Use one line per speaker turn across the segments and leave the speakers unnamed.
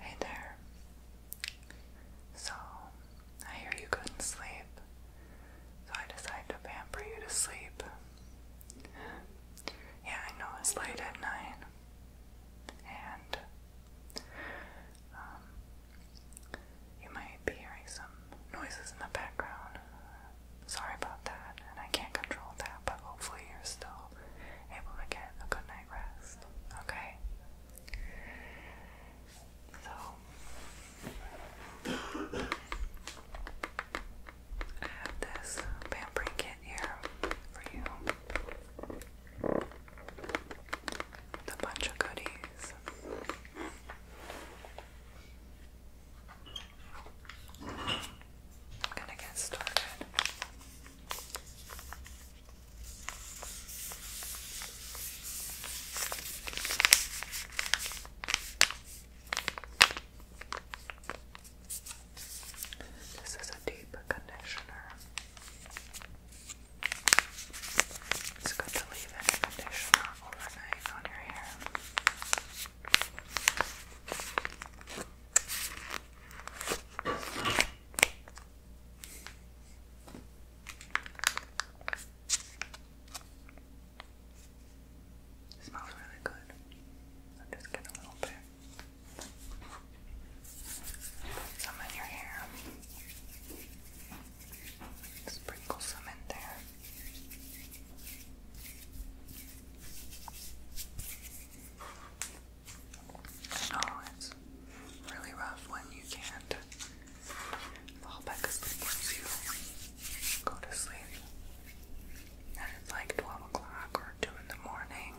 Hey there. So, I hear you couldn't sleep, so I decided to pamper you to sleep. Yeah, I know it's late at night, and um, you might be hearing some noises in the background. Sorry about that, and I can't control that, but hopefully you're still able to get a good night rest. Okay. So I have this pampering kit here for you. a bunch of goodies. I'm gonna get started. This is a deep conditioner. It's good to leave any conditioner overnight on your hair. It smells really good. just get a little bit. Put some in your hair. Sprinkle some in there. I oh, it's really rough when you can't fall back asleep once you go to sleep. And it's like 12 o'clock or 2 in the morning.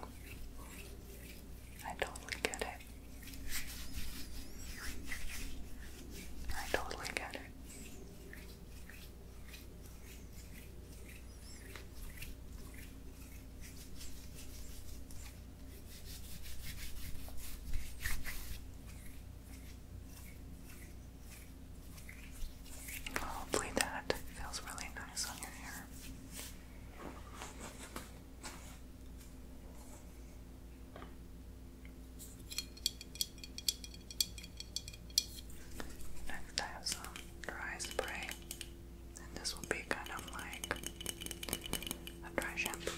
I totally get it. I totally get it. Hopefully, that feels really nice on your hair. Next, I have some dry spray. And this will be kind of like a dry shampoo.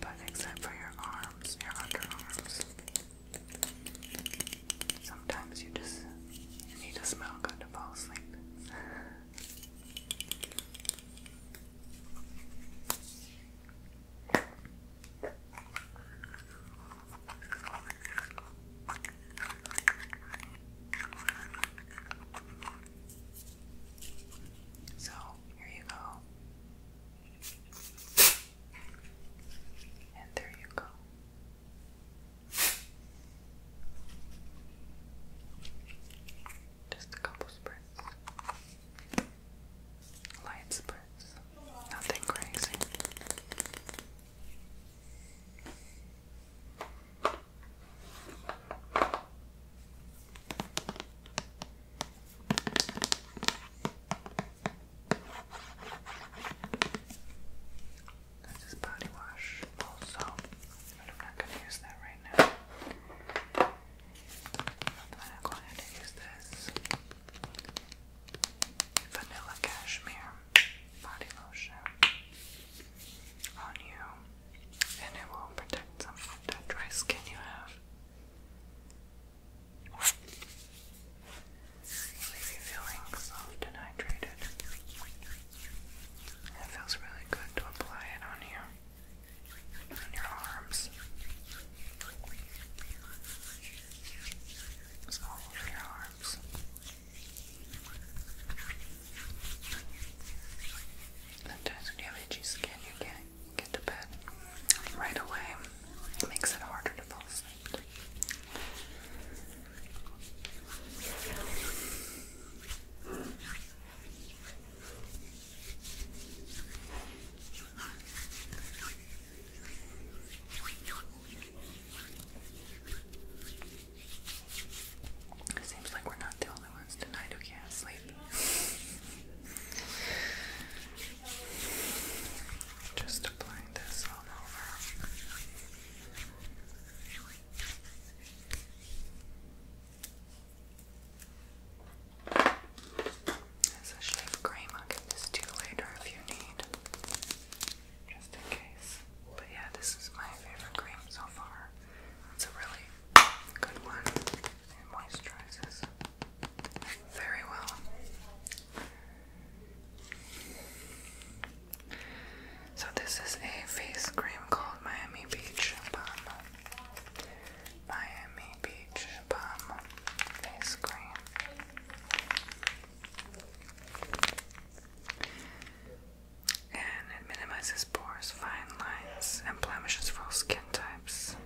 But except for your arms, your underarms. Sometimes you just need to smell good to fall asleep. So, here you go. And there you go. Just a couple spritz. Light spritz. Nothing crazy. This is body wash also, but I'm not gonna use that right now. I'm gonna go ahead and use this. Vanilla Cashmere Body Lotion on you, and it will protect some of that dry skin you have. Leave feeling soft and hydrated. It feels really good to apply it on you, on your arms. It's all over your arms arms. Sometimes when you have itchy skin, you can't get to bed right away. It makes it harder to fall asleep. It seems like we're not the only ones tonight who can't sleep. Just applying this all over. There's a shade cream. I'll get later if you need just in case. But yeah, this is my favorite cream so far. It's a really good one. It moisturizes very well. So this is a face cream called Miami Beach Bomb. Miami Beach Bomb face cream. And it minimizes pores, fine lines, and blemishes for all skin types.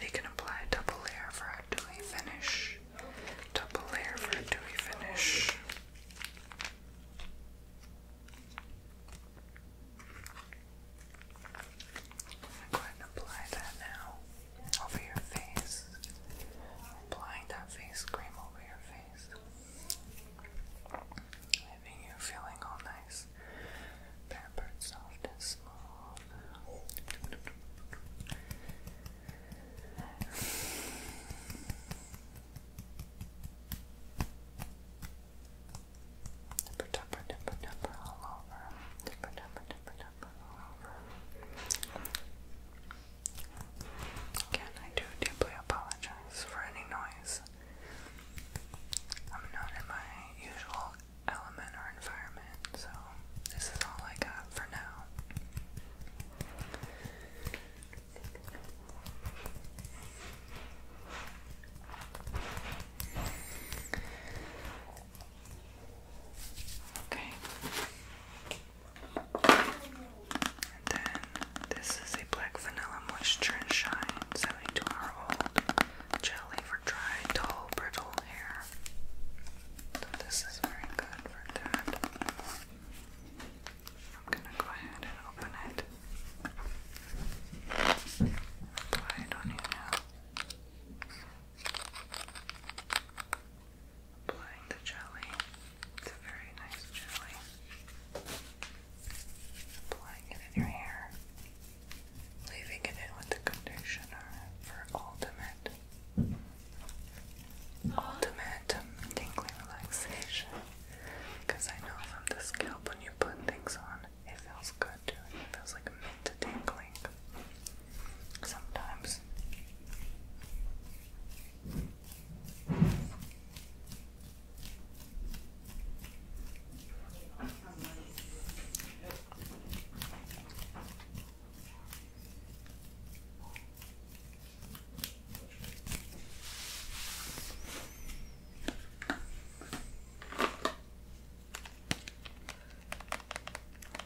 You can apply a double layer for a dewy finish. Double layer for a dewy finish. I'm going to apply that now over your face, applying that face cream over your face, leaving you feeling all nice, pampered, soft, and smooth. Dipper, dipper, dipper, dipper all over. Dipper, dipper, dipper, dipper. Again, I do deeply apologize for any noise. I'm not in my usual element or environment, so this is all I got for now. Okay. then this is a black vanilla moisture and shine 72 hour old jelly for dry, dull, brittle hair. this is very good for that. I'm gonna go ahead and open it. Apply it on you now. Applying the jelly. It's a very nice jelly. Applying it in your hair. Leaving it in with the conditioner for ultimate, ultimate tingling relaxation. Because I know from the scalp when you put things on, it feels good too. It feels like a mint tingling sometimes.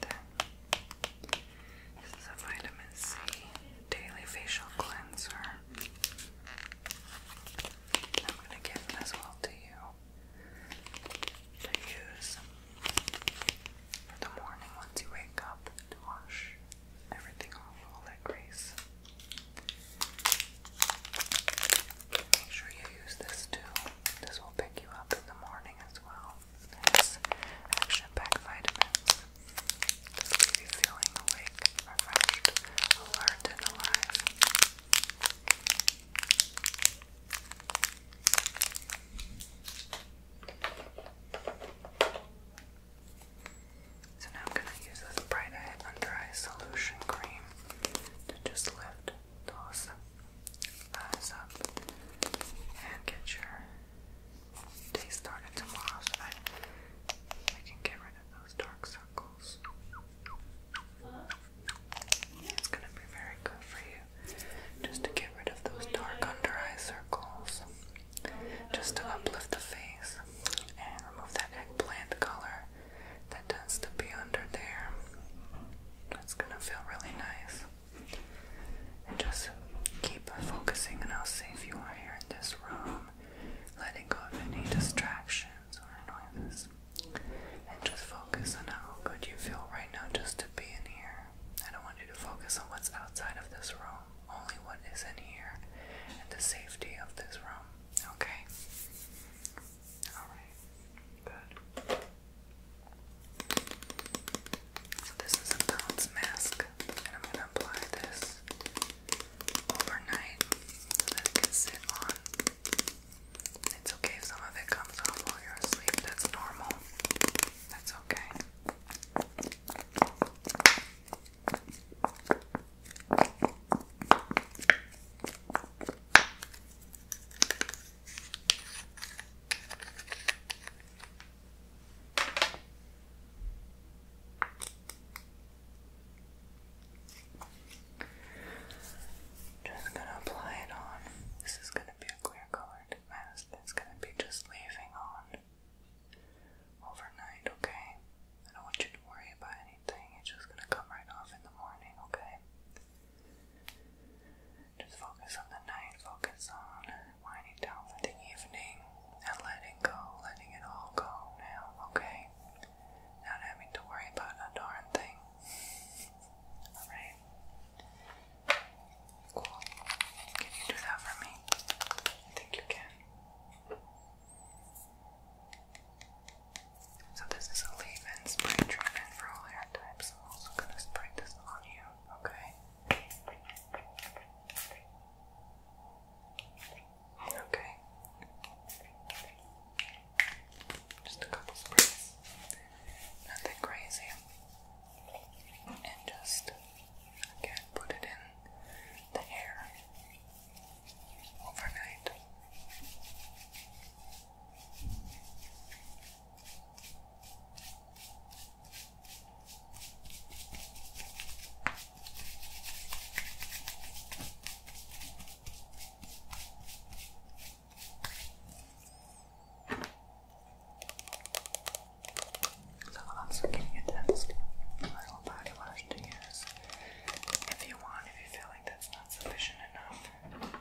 There. This is a vitamin C daily facial cleanser. I'm going to give this all to you to use for the morning once you wake up to wash everything off all that grease. Make sure you use this too this will pick you up in the morning as well. action-packed vitamins. Just leave you feeling awake, refreshed, alert, and alive. So now I'm going to use this Bright Eye Under Eye Solution Cream to just lift those eyes up and get your day started tomorrow I can get rid of those dark circles. It's gonna be very good for you just to get rid of those dark under eye circles, just to uplift the face and remove that eggplant color that tends to be under there. That's gonna feel really nice. And just keep focusing on how safe you are here in this room, letting go of any distractions or annoyances, And just focus on how good you feel right now just to be in here. I don't want you to focus on what's outside of this room, only what is in here, and the safety of this room. Okay? Alright, good. this is a bounce mask, and I'm going to apply this overnight so it can sit on. It's okay if some of it comes off while you're asleep, that's normal. That's okay. Just gonna apply it on. This is gonna be a clear colored mask that's gonna be just leaving on overnight, okay? I don't want you to worry about anything, it's just gonna come right off in the morning, okay? Just focus on the night, focus on winding down for the evening and letting go, letting it all go now, okay? Not having to worry about a darn thing. Alright? Cool. Can you do that for me? I think you can. So this is a leave-in spray treatment for all hair types. I'm also gonna spray this on you, okay? Okay. Just a couple sprays. Nothing crazy. And just again put it in the hair overnight. I'm getting into this little body wash to use if you want, if you feel like that's not sufficient enough.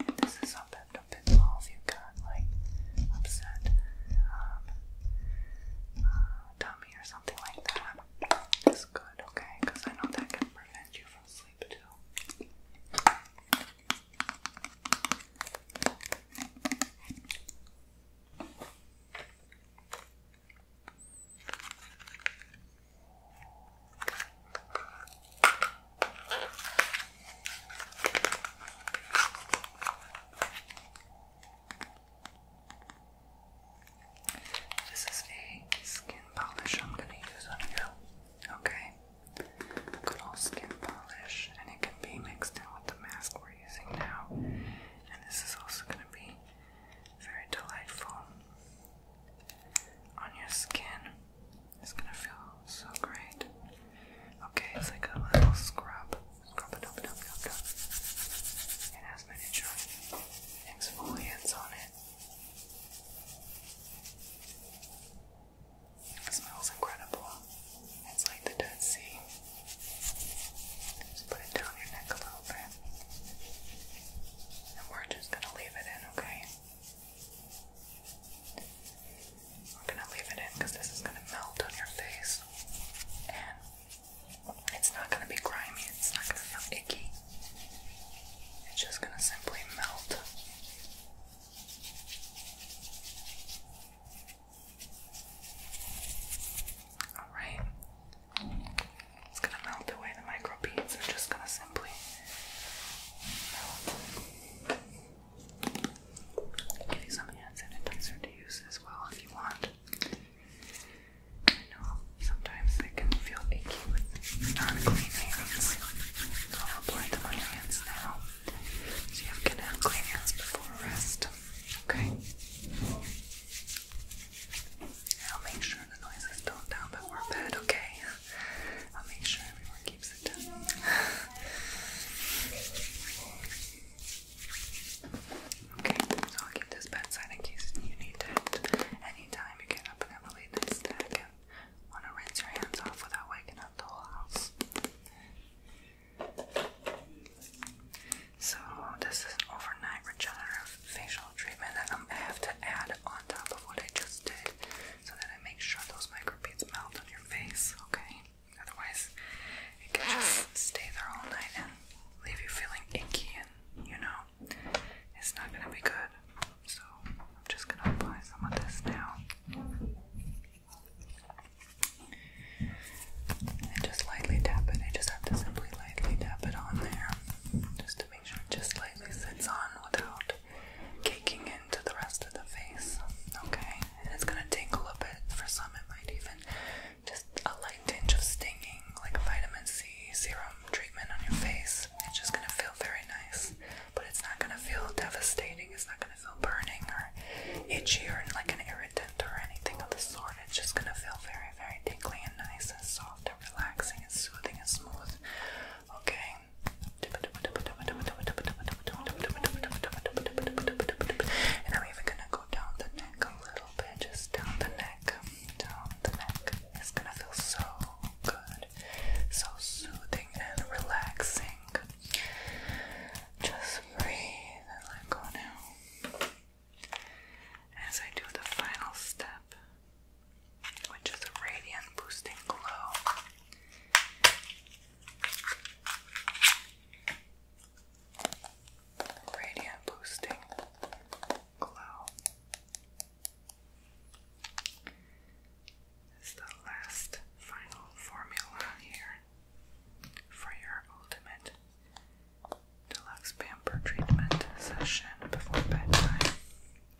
And this is something to pinball if you got like upset um, uh, tummy or something like that. It's good, okay? Because I know that can prevent you from sleep too. This is a skin polish I'm going to use on you. Okay? Good old skin polish, and it can be mixed in with the mask we're using now. And this is also going to be very delightful on your skin. It's gonna feel so great. Okay, it's like a little scrub. Scrub it up, up, up, up. It has miniature exfoliants on it. It smells incredible. It's like the Dead Sea. Just put it down your neck a little bit. And we're just gonna leave it in, okay? We're gonna leave it in because this is gonna melt on your face. And it's not gonna be grimy, it's not gonna feel icky. It's just gonna simply melt. Alright. It's gonna melt away the micro beads. I'm just gonna simply give you some hand sanitizer to use as well if you want. I know sometimes they can feel icky with non-clean hands. So I'll apply them on your hands now. So you have clean hands before rest. Okay. I'll make sure the noise is toned down before bed, okay? I'll make sure everyone keeps it down. okay, so I'll keep this bedside in case you need it. Anytime you get up and have a late night snack and want to rinse your hands off without waking up the whole house. So, this is an overnight regenerative facial treatment that I'm gonna have to add on top of what I just did so that I make sure those micro beads melt on your face, okay? Otherwise, it can just stay there all night and leave you feeling icky and, you know, it's not gonna be good. So, I'm just gonna apply some of this now. And just lightly tap it. I just have to simply lightly tap it on there just to make just lightly sits on without caking into the rest of the face. Okay, and it's gonna take a bit. For some, it might even just a light tinge of stinging, like vitamin C serum treatment on your face. It's just gonna feel very nice, but it's not gonna feel devastating. It's not gonna feel burning or itchy or like an irritant or anything of the sort. It's just gonna feel very, very tingly and nice and soft relaxing and soothing and smooth. Okay. And I'm even gonna go down the neck a little bit, just down the neck, down the neck. It's gonna feel so good, so soothing and relaxing. Just breathe and let go now. As I do the final step, which is a radiant boosting glow. Radiant boosting glow is the last final formula here for your ultimate deluxe pamper treatment session before bedtime.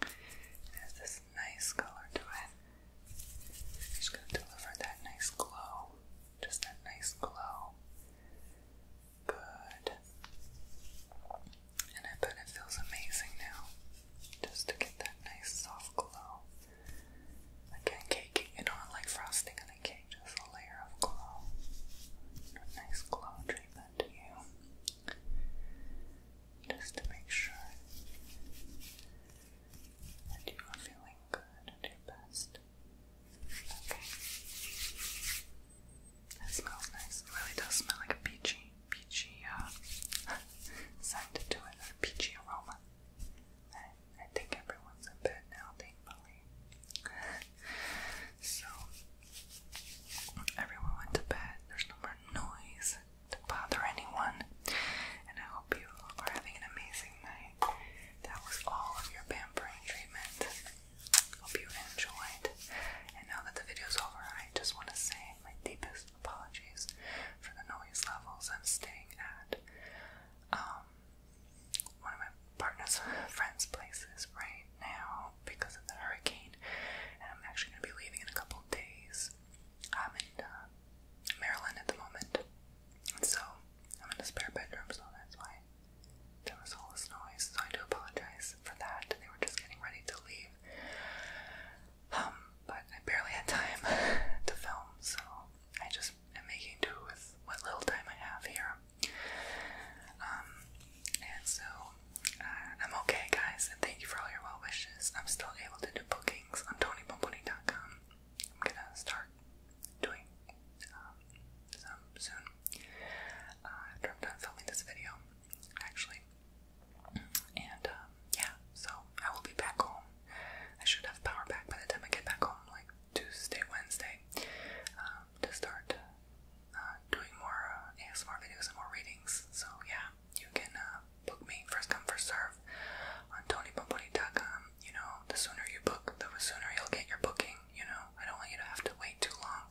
It has this nice color to it. It's going to deliver that nice glow, just that nice glow. Good. And I bet it feels amazing now just to get that nice soft glow. Again, caking it on like frosting on a just a layer of glow. nice glow treatment to you just to make sure that you are feeling good and your best. Okay. That smells nice. It really does smell like a peachy, peachy uh, scent to it, a peachy aroma. I, I think everyone's in bed now, thankfully. so, Everyone went to bed. There's no more noise to bother anyone. And I hope you are having an amazing night. That was all of your pampering treatment. Hope you enjoyed. And now that the video's over, I just want to say my deepest apologies for the noise levels I'm staying at. Um, one of my partner's friends' places right now because of the hurricane. And I'm actually going to be leaving in a couple days. I'm in uh, Maryland at the moment. so I'm in a spare bedroom, so that's why there was all this noise. So I do apologize for that. They were just getting ready to leave. Um, but I barely had time to film, so I just am making do with what little time I have here. Um, and so uh, I'm okay, guys, and thank you for all your well wishes. I'm still able to do bookings on TonyBomboni.com. I'm gonna start doing um, some soon uh, after I'm done filming this video, actually. And um, yeah, so I will be back home. I should have power back by the time I get back home, like Tuesday, Wednesday, to start uh, uh, doing more uh, ASMR videos and more readings. So yeah, you can uh, book me first come first serve on TonyBomboni.com. You know, the sooner you book, the sooner you'll get your booking. You know, I don't want you to have to wait too long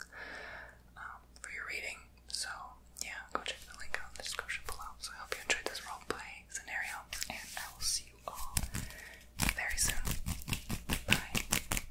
um, for your reading. So yeah, go check the link in the description below. So I hope you enjoyed this role roleplay scenario, and I will see you all very soon. Bye.